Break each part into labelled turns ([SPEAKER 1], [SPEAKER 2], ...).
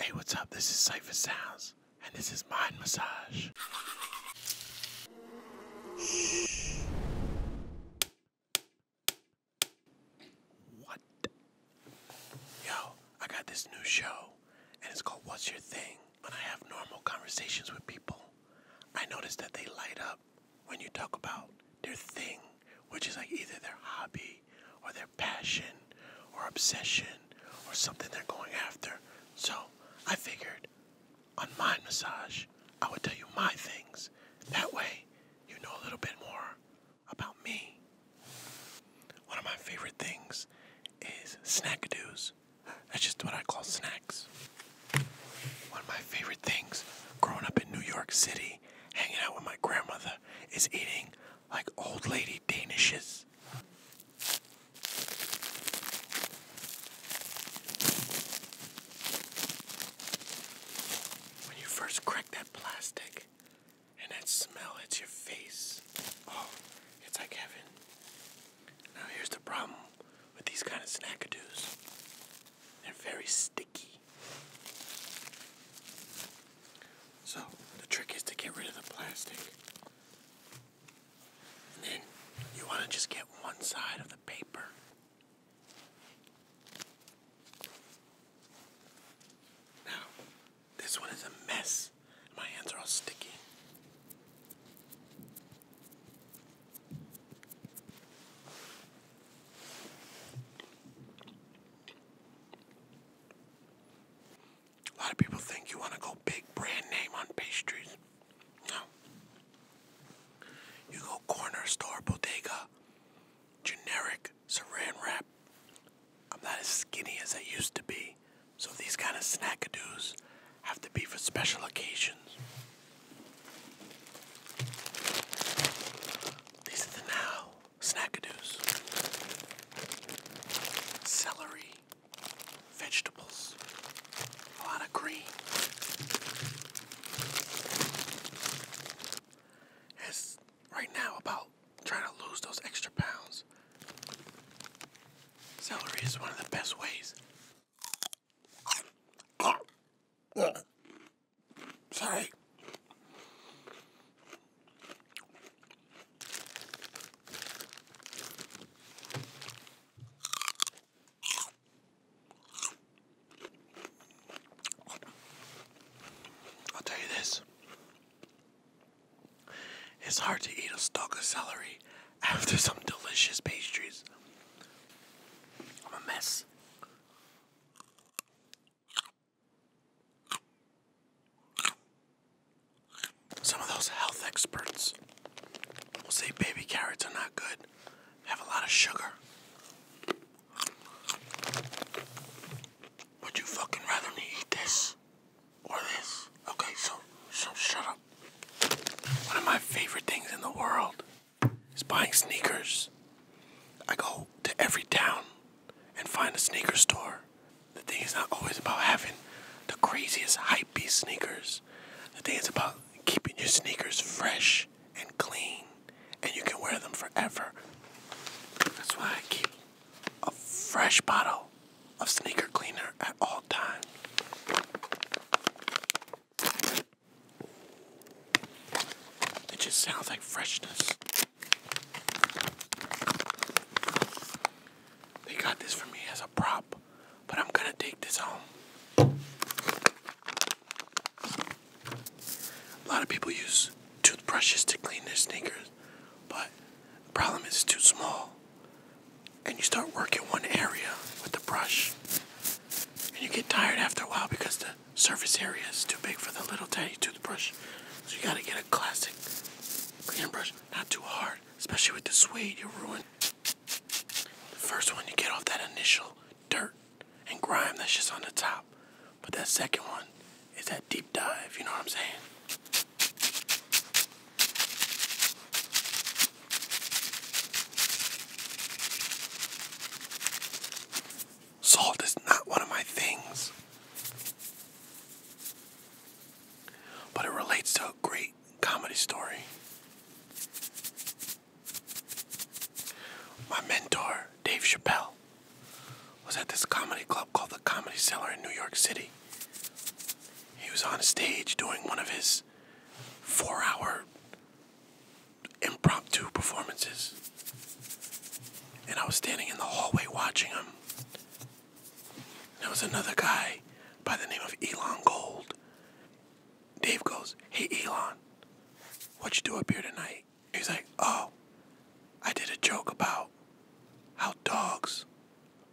[SPEAKER 1] Hey, what's up? This is Cypher Sounds, and this is Mind Massage. What? Yo, I got this new show, and it's called What's Your Thing? When I have normal conversations with people, I notice that they light up when you talk about their thing, which is like either their hobby or their passion or obsession or something they're going after. So I figured on Mind Massage, I would tell you my things. That way, you know a little bit more about me. One of my favorite things is snackadoos. That's just what I call snacks. One of my favorite things growing up in New York City, hanging out with my grandmother, is eating like old lady Danishes. When you first crack that plastic and that smell hits your face, oh, it's like heaven. Now here's the problem with these kind of snackadoos. They're very sticky. So the trick is to get rid of the plastic. And then you want to just get one side of the paper. Now, this one is a mess. My hands are all sticky. A lot of people think you want to go big brand name on pastries. No. You go corner store, bodega, generic saran wrap. I'm not as skinny as I used to be, so these kind of snackadoos have to be for special occasions. These are the now snackadoos, celery, vegetables, a lot of green. It's right now about trying to lose those extra pounds. Celery is one of the best ways. Sorry. I'll tell you this. It's hard to eat a stalk of celery after some delicious pastries. I'm a mess. Some of those health experts will say baby carrots are not good, have a lot of sugar. Would you fucking rather me eat this or this? Okay, so so shut up. One of my favorite things in the world is buying sneakers. I go to every town and find a sneaker store. The thing is not always about having the craziest hypey sneakers. The thing is about keeping your sneakers fresh and clean, and you can wear them forever. That's why I keep a fresh bottle of sneaker cleaner at all times. It just sounds like freshness. They got this for me as a prop, but I'm gonna take this home. A lot of people use toothbrushes to clean their sneakers, but the problem is it's too small. And you start working one area with the brush, and you get tired after a while because the surface area is too big for the little tiny toothbrush. So you gotta get a classic cleaning brush. Not too hard, especially with the suede, you ruin. The first one, you get off that initial dirt and grime that's just on the top. But that second one is that deep dive, you know what I'm saying? Salt is not one of my things. But it relates to a great comedy story. My mentor, Dave Chappelle, was at this comedy club called the Comedy Cellar in New York City. He was on stage doing one of his four hour impromptu performances. And I was standing in the hallway watching him. There was another guy by the name of Elon Gold. Dave goes, Hey Elon, what you do up here tonight? He's like, Oh, I did a joke about how dogs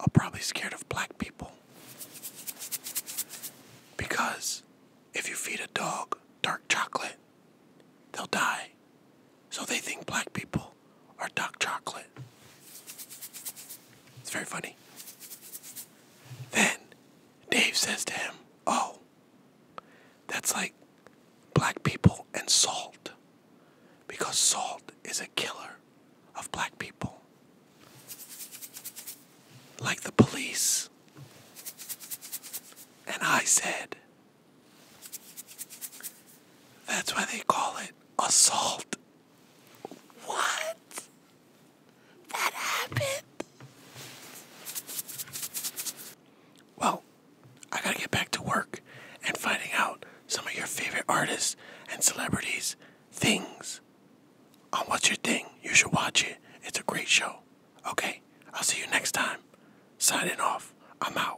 [SPEAKER 1] are probably scared of black people. Because if you feed a dog dark chocolate, they'll die. So they think black people are dark chocolate. It's very funny. Then Dave says to him, Oh, that's like black people and salt. Because salt is a killer of black people. Like the police. And I said, that's why they call it assault. What? That happened? Well, I gotta get back to work and finding out some of your favorite artists and celebrities' things on What's Your Thing. You should watch it. It's a great show. Okay, I'll see you next time. Signing off. I'm out.